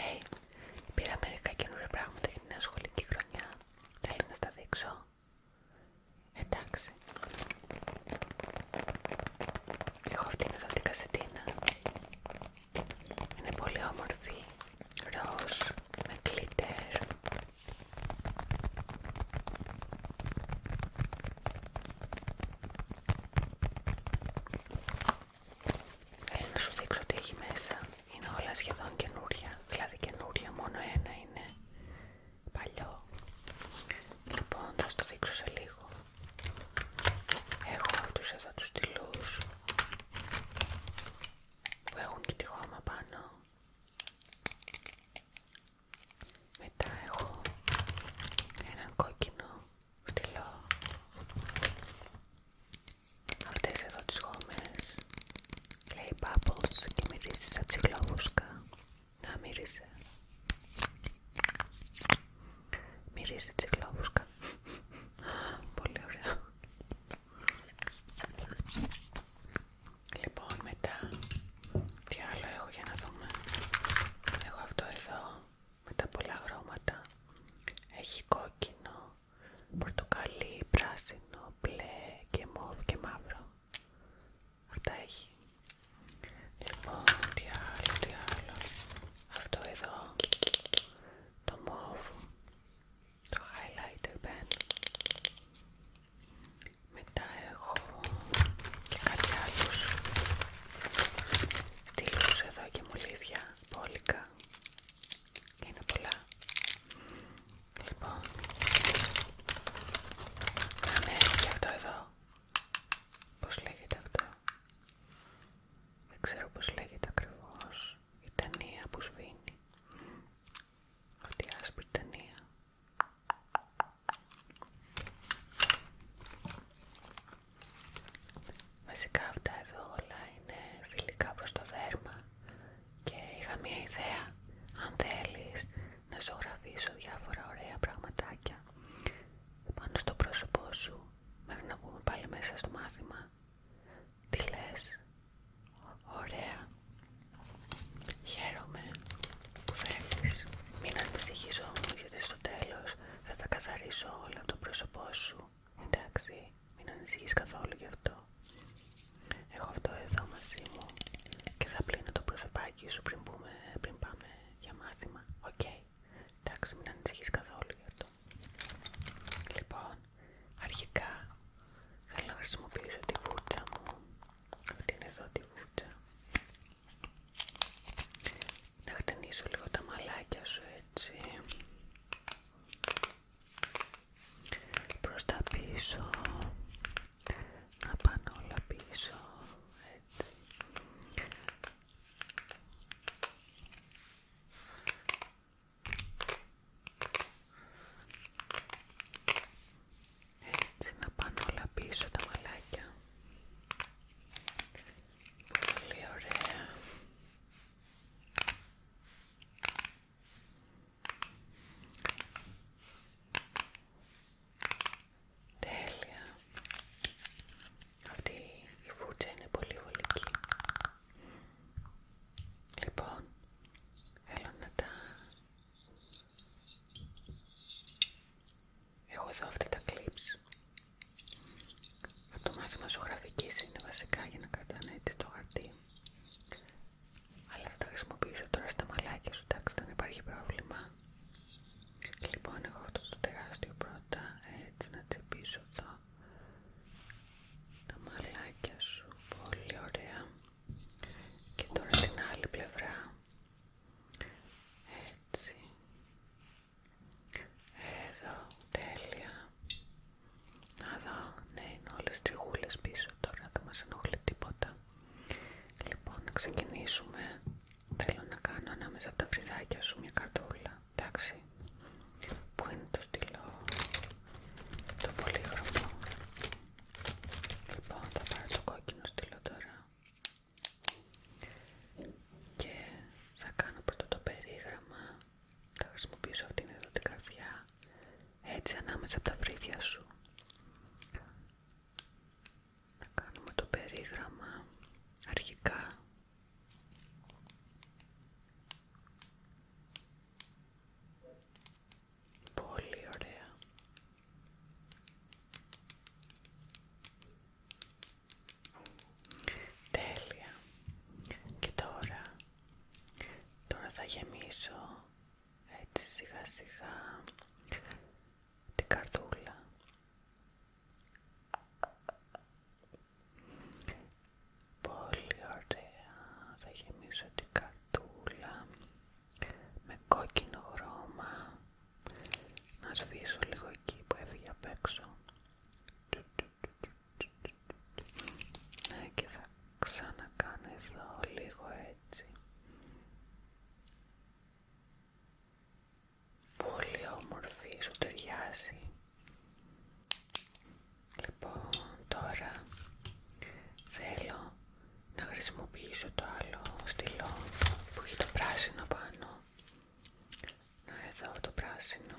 Hey, πήρα μερικά καινούργια πράγματα για την σχολική χρονιά. Θέλεις να στα δείξω? Εντάξει. Έχω αυτήν εδώ την κασετίνα. Είναι πολύ όμορφη. Ροζ, με κλίτερ να σου δείξω τι έχει μέσα. Είναι όλα σχεδόν καινούρια. Δηλαδή καινούρια, μόνο ένα είναι παλιό. Λοιπόν, θα σου το δείξω σε λίγο. Έχω αυτούς εδώ τους τυλούς που έχουν και τη χώμα πάνω. Μετά έχω έναν κόκκινο φτυλό αυτές εδώ τις γόμες λέει bubbles και μυρίζει σαν τσιγκλόβουσκα να μύρισε μυρίζει τσιγκλόβουσκα πολύ ωραία λοιπόν μετά τι άλλο έχω για να δούμε έχω αυτό εδώ με τα πολλά χρώματα. Έχει κόκκινο, πορτοκαλί, πράσινο, μπλε και μόβ και μαύρο. Αυτά έχει. Λοιπόν, τι άλλο, τι άλλο. Αυτό εδώ, το μόβ, το highlighter pen. Μετά έχω και κάτι τι τύλους εδώ και μολύβια, πόλικα πολλά. Είναι πολλά. Λοιπόν, α ναι, και αυτό εδώ. Πώς λέγεται αυτό. Δεν ξέρω πώς λέγεται ακριβώς. Η ταινία που σβήνει. Αυτή η άσπρη ταινία. Βασικά αυτά εδώ όλα είναι φιλικά προς το δέρμα και είχα μια ιδέα αν θέλεις να ζωγραφίσω διάφορα ωραία πραγματάκια πάνω στο πρόσωπό σου μέχρι να βγούμε πάλι μέσα στο μάθημα τι λες ωραία χαίρομαι που θέλεις μην ανησυχήσω όμως γιατί στο τέλος θα τα καθαρίσω όλα από το πρόσωπό σου Εντάξει, μην ανησυχείς καθόλου γι' αυτό. Έχω αυτό εδώ μαζί μου και θα πλύνω το προσωπάκι σου πριν, πριν πάμε για μάθημα. Οκ. Εντάξει, μην ανησυχείς καθόλου γι' αυτό. Λοιπόν, αρχικά θέλω να χρησιμοποιήσω τη βούτσα μου. Αυτή είναι εδώ τη βούτσα. Να χτενίσω λίγο τα μαλάκια σου έτσι προς τα πίσω να πάνε όλα πίσω έτσι έτσι να πάνε όλα πίσω τα μαλάκια πολύ ωραία Τέλεια. Αυτή η φούτσα είναι πολύ βολική. Λοιπόν, θέλω να τα... έχω εδώ αυτή τα κλιπς. Από το μάθημα γραφική είναι βασικά για να κρατάνε το χαρτί. Αλλά θα τα χρησιμοποιήσω τώρα στα μαλάκια σου, εντάξει, δεν υπάρχει πρόβλημα. Λοιπόν, εγώ αυτό το τεράστιο πρώτα, έτσι να τσιπίσω εδώ τα μαλάκια σου, πολύ ωραία. Και τώρα την άλλη πλευρά, έτσι, εδώ, τέλεια. Να δω, ναι είναι όλες τριγούλες πίσω τώρα, δεν μας ενοχλεί τίποτα. Λοιπόν, να ξεκινήσουμε. Θέλω να κάνω ανάμεσα από τα φρυδάκια σου μια καρτούλα, εντάξει. Πού είναι το στυλό, το πολύγραφο. Λοιπόν, θα πάρω το κόκκινο στυλό τώρα. Και θα κάνω πρώτο το περίγραμμα θα χρησιμοποιήσω αυτήν εδώ την καρδιά έτσι ανάμεσα τα φρύδια σου. Να κάνουμε το περίγραμμα αρχικά. Πολύ ωραία. Τέλεια. Και τώρα Τώρα θα γεμίσω έτσι σιγά σιγά την καρτούλα. Πολύ ωραία. Θα γεμίσω την καρτούλα με κόκκινο χρώμα. Να σβήσω λίγο εκεί που έφυγε απ' έξω. Ναι και θα ξανακάνω εδώ λίγο έτσι. Πολύ όμορφη, σου ταιριάζει. Λοιπόν, τώρα θέλω να χρησιμοποιήσω το άλλο στυλό που έχει το πράσινο πάνω. Να εδώ το πράσινο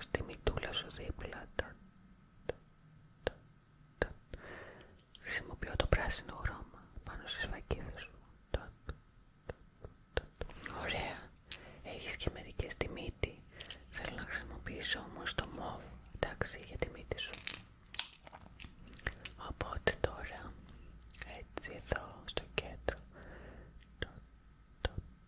στη μητούλα σου δίπλα. Χρησιμοποιώ το πράσινο χρώμα πάνω στις φακίδες σου. Ωραία. Έχεις και μερικές στη μύτη. Θέλω να χρησιμοποιήσω όμως το μοβ, εντάξει, για τη μύτη σου. Οπότε τώρα, έτσι εδώ στο κέντρο,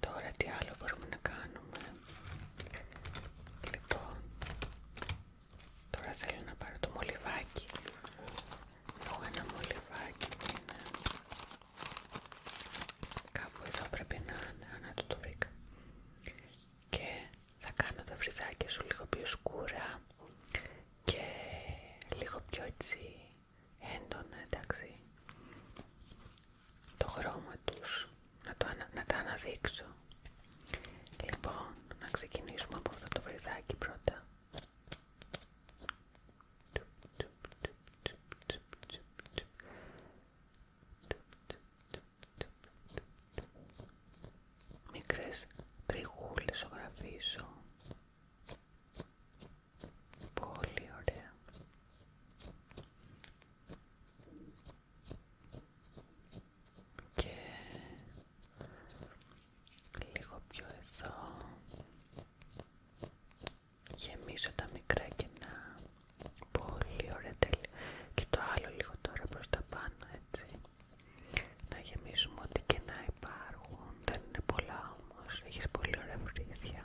Τώρα τι άλλο μπορούμε να κάνουμε. Λοιπόν, τώρα θέλω να πάρω το μολυβάκι. Έχω ένα μολυβάκι που είναι κάπου εδώ πρέπει να είναι. Ανά το το βρήκα. Και θα κάνω τα βρυζάκια σου λίγο πιο σκούρα και λίγο πιο έτσι έντονα, εντάξει το χρώμα τους, να, να, τα αναδείξω. Λοιπόν, να ξεκινήσουμε από αυτό το βριδάκι πρώτα. Μικρές τριγούλες ζωγραφίζω. Πολύ ωραία και λίγο πιο εδώ γεμίζω τα μικρά κενά πολύ ωραία τέλεια και το άλλο λίγο τώρα προς τα πάνω έτσι να γεμίσουμε ό,τι να υπάρχουν δεν είναι πολλά όμως, έχεις πολύ ωραία βρίσκια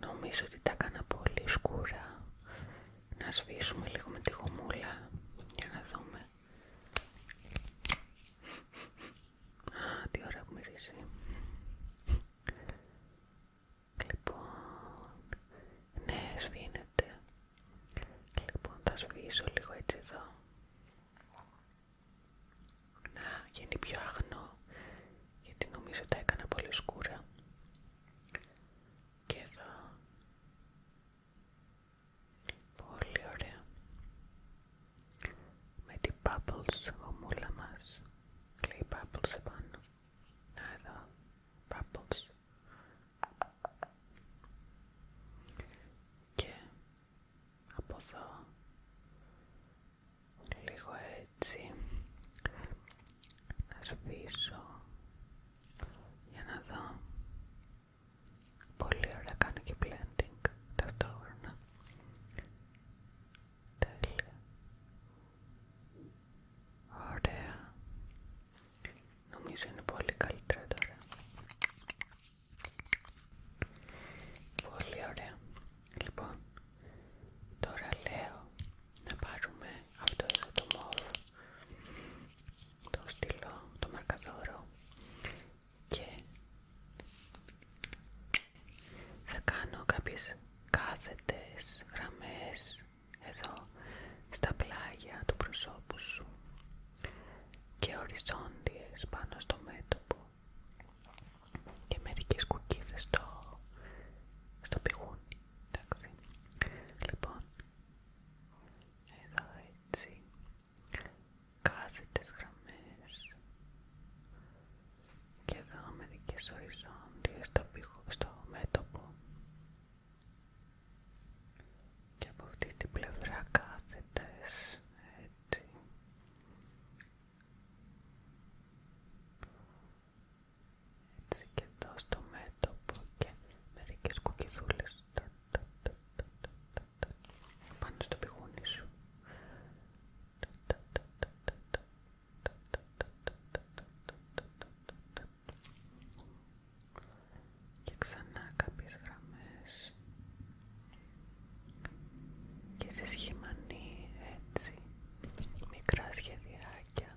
Νομίζω ότι τα έκανα πολύ σκούρα. Να σβήσουμε λίγο με τη γομούλα για να δούμε. Α, τι ώρα που μυρίζει. Λοιπόν, ναι, σβήνεται. Λοιπόν, θα σβήσω λίγο έτσι εδώ. Να γίνει πιο αγνό, γιατί νομίζω τα έκανα πολύ σκούρα και εδώ πολύ ωραία με την bubbles γομούλα μας λέει bubbles επάνω να εδώ bubbles και από εδώ λίγο έτσι να σβήσω για να δω. Πολύ ωραία κάνω και blending ταυτόχρονα. Τέλεια. Ωραία. Νομίζω είναι πολύ καλύτερα τώρα. Πολύ ωραία. Λοιπόν, τώρα λέω να πάρουμε αυτό εδώ το μόβ, το στυλό, το μαρκαδόρο και θα κάνω κάποιες κάθετες γραμμές εδώ στα πλάγια του προσώπου σου και οριζόντιες πάνω στο μέτωπο και μερικές κουκίδες στο, στο πηγούνι εντάξει λοιπόν εδώ έτσι κάθετες γραμμές και εδώ μερικές οριζόντιες στο, στο μέτωπο και από αυτή την πλευρά κάθετες έτσι έτσι και εδώ στο μέτωπο και μερικές κουκκιδούλες πάνω στο πηγούνι σου. Και ξανά κάποιες γραμμές και σε σχημανή έτσι μικρά σχεδιάκια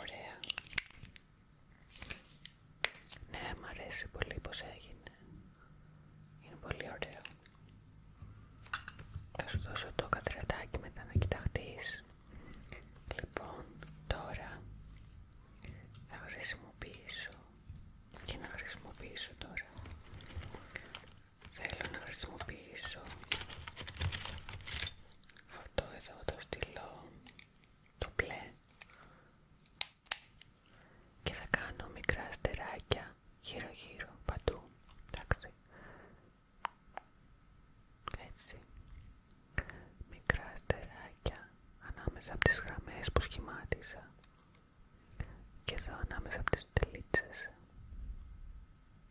Ωραία. Ναι, μ' αρέσει πολύ πως έγινε. Είναι πολύ ωραίο. Θα σου δώσω το κατρετάκι μετά να κοιταχτείς. Λοιπόν, τώρα θα χρησιμοποιήσω και να χρησιμοποιήσω τώρα. Θέλω να χρησιμοποιήσω αυτό εδώ το στείλω το μπλε και θα κάνω μικρά αστεράκια γύρω γύρω παντού, εντάξει, έτσι, μικρά αστεράκια ανάμεσα από τις γραμμές που σχημάτισα και εδώ ανάμεσα από τις τελίτσες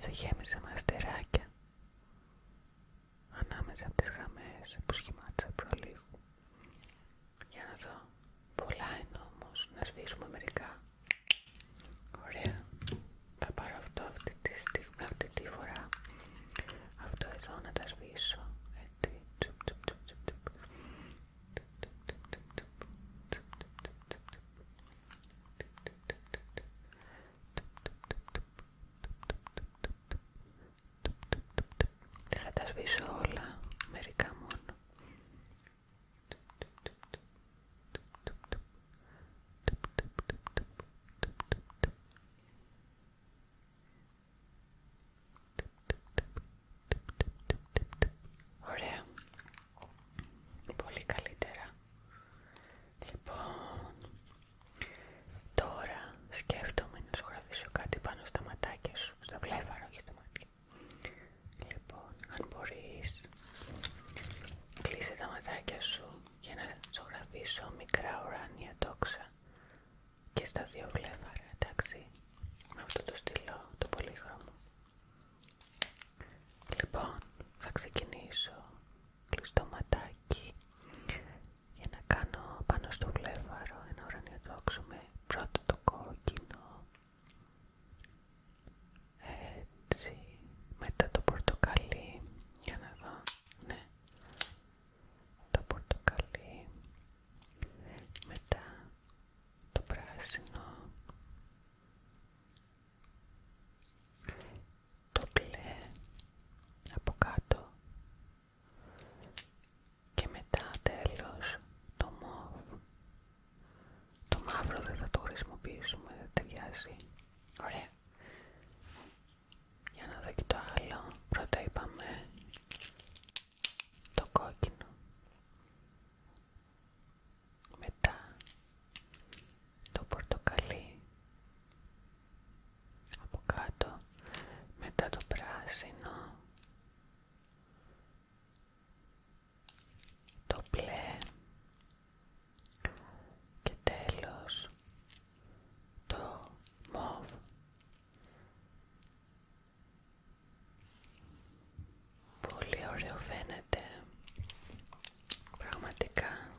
σε γέμισα με αστεράκια ανάμεσα από τις γραμμές που σχημάτισα προλίγου. Για να δω. Πολλά είναι όμως. Να σβήσουμε μερικά. Ωραία. Θα πάρω αυτό αυτή τη, στιγμή, φορά. Αυτό εδώ να τα σβήσω. Έτσι. Δεν θα τα σβήσω όλα, μερικά μόνο. Ωραία. Πολύ καλύτερα. Λοιπόν, τώρα σκέφτομαι να σου γραφήσω κάτι πάνω στα ματάκια σου, στα βλέφαρα όχι στα μάτια. Λοιπόν, αν μπορείς, κλείσε τα ματάκια σου για να σου γραφήσω μικρά ουράνια τόξα και στα δύο βλέφαρα, εντάξει, με αυτό το στυλό, το πολύχρωμο. Λοιπόν, θα ξεκινήσω κλειστό ματάκι για να κάνω πάνω στο βλέφαρο ένα ώρα δόξο με πρώτο το κόκκινο έτσι μετά το πορτοκαλί για να δω ναι το πορτοκαλί μετά το πράσινο το κλέ από κάτω και μετά τέλος το μόβ το μαύρο δεν θα το χρησιμοποιήσουμε, δεν ταιριάζει ωραία για να δω και το άλλο πρώτα είπαμε το κόκκινο μετά το πορτοκαλί από κάτω, μετά το πράσινο, το μπλε και τέλος το μοβ. Πολύ ωραίο φαίνεται Πραγματικά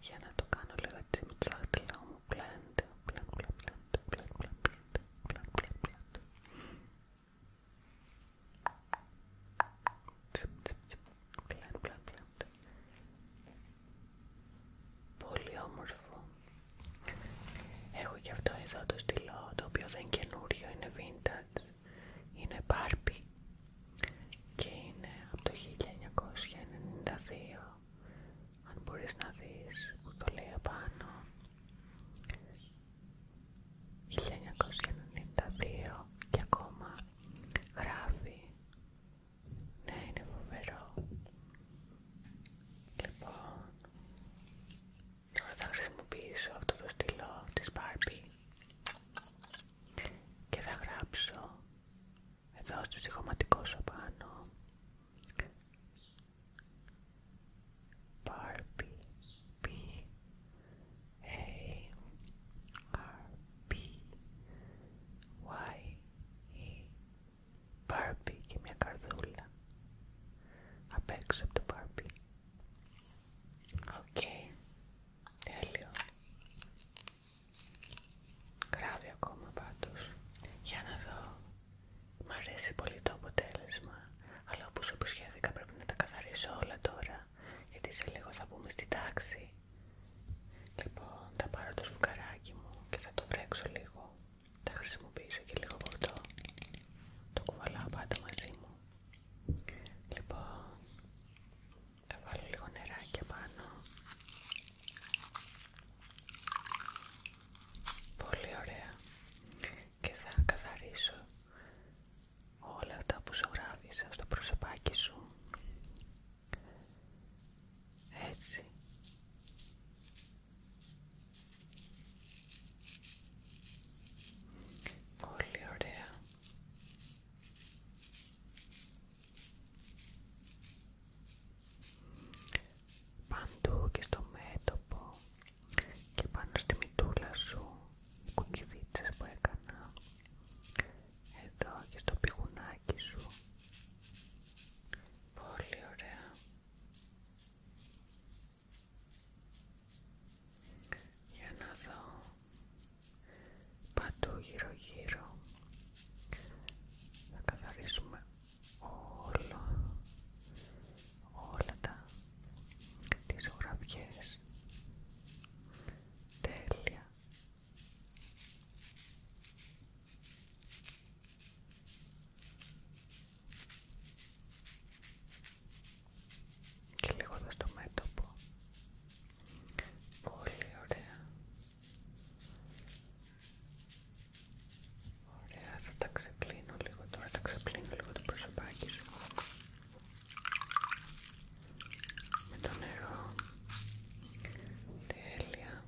για να το κάνω λίγο έτσι με το δάχτυλό μου πλέντε, πλέντε, πλέντε, πλέντε, πλέντε, πλέντε, πλέντε, πλέντε, πλέντε, Πολύ όμορφο. Έχω και αυτό εδώ το στυλό, το οποίο δεν είναι καινούριο, είναι vintage, είναι Barbie και είναι από το 1992 αν μπορείς να δεις που το λέει απάνω 1992 και ακόμα γράφει ναι είναι φοβερό λοιπόν τώρα θα χρησιμοποιήσω αυτό το στυλό της Barbie και θα γράψω εδώ στο ζυγωματικό σου πάνω Barbie B A R Y e. Barbie και μια καρδούλα απ' από το Barbie Οκ, τέλειο Γράφει ακόμα πάντως. Για να δω. Μ' αρέσει πολύ το αποτέλεσμα. Αλλά όπως υποσχέθηκα πρέπει να τα καθαρίσω όλα τώρα. Γιατί σε λίγο θα μπούμε στην τάξη. Λοιπόν, θα πάρω το σφουγγαράκι μου και θα το βρέξω λίγο. Θα χρησιμοποιήσω και λίγο βορτό. Το κουβαλάω πάντα μαζί μου. Λοιπόν, θα βάλω λίγο νεράκια πάνω. Πολύ ωραία. Και θα καθαρίσω όλα αυτά που ζωγράφισα στο προσωπάκι σου. Έτσι. Πολύ ωραία. Παντού και στο μέτωπο και πάνω στη μιτούλα σου οι κουκκιδίτσες που έκανα εδώ και στο πηγουνάκι σου πολύ ωραία για να δω παντού γύρω γύρω να καθαρίσουμε όλο, όλα τα τις ζωγραφιές τέλεια και λίγο εδώ στο μέτωπο πολύ ωραία Ωραία, θα τα ξεπλύνω λίγο τώρα, θα ξεπλύνω λίγο το προσωπάκι σου με το νερό. Τέλεια,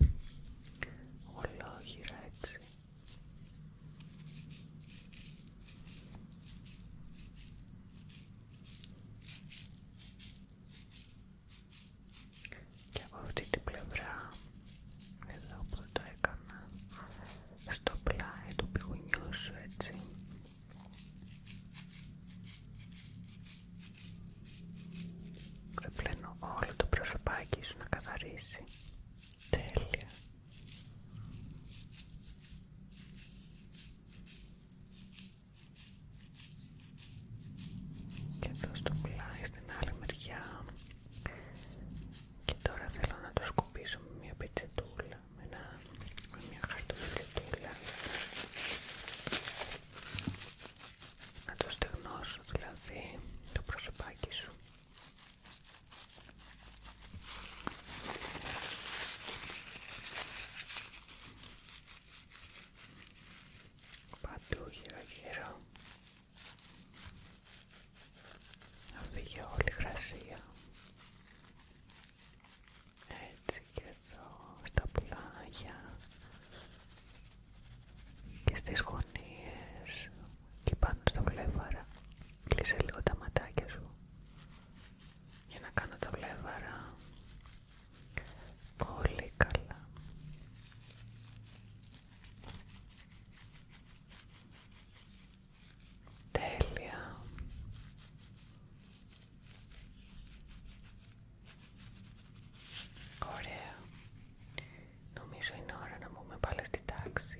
ολόγυρα έτσι και από αυτή την πλευρά εδώ που το έκανα στο πλάι του πηγουνιού σου έτσι δεν πλένω όλο το προσωπάκι σου να καθαρίσει τέλεια και εδώ στο στην άλλη μεριά και τώρα θέλω να το σκουπίσω με μια πετσετούλα με, μια να το στεγνώσω δηλαδή το προσωπάκι σου παντού γύρω γύρω να φύγει όλη η γρασία έτσι και εδώ στα πλάγια και στις γωνίες και πάνω στο βλέφαρα κλείσε λίγο τα ματάκια σου για να κάνω το βλέφαρα Πολύ καλά. Τέλεια. Ωραία. Νομίζω είναι ώρα να μπούμε πάλι στη τάξη.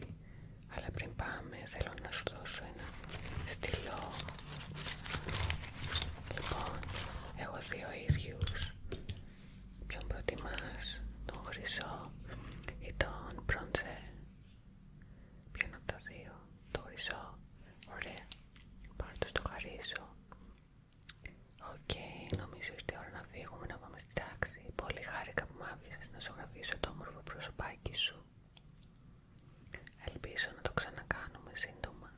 Αλλά πριν πάμε θέλω να σου δώσω ένα στυλό. Λοιπόν, έχω δύο ίδιους Ποιον προτιμάς, τον χρυσό ή τον μπρόντζερ. Ποιον από τα δύο, το χρυσό. Ωραία. Πάρ' το στο χαρίσω. Οκ, νομίζω ήρθε η ώρα να φύγουμε να πάμε στην τάξη. Πολύ χάρηκα που μ' άφησες να ζωγραφίσω το όμορφο προσωπάκι σου. Ελπίζω να το ξανακάνουμε σύντομα.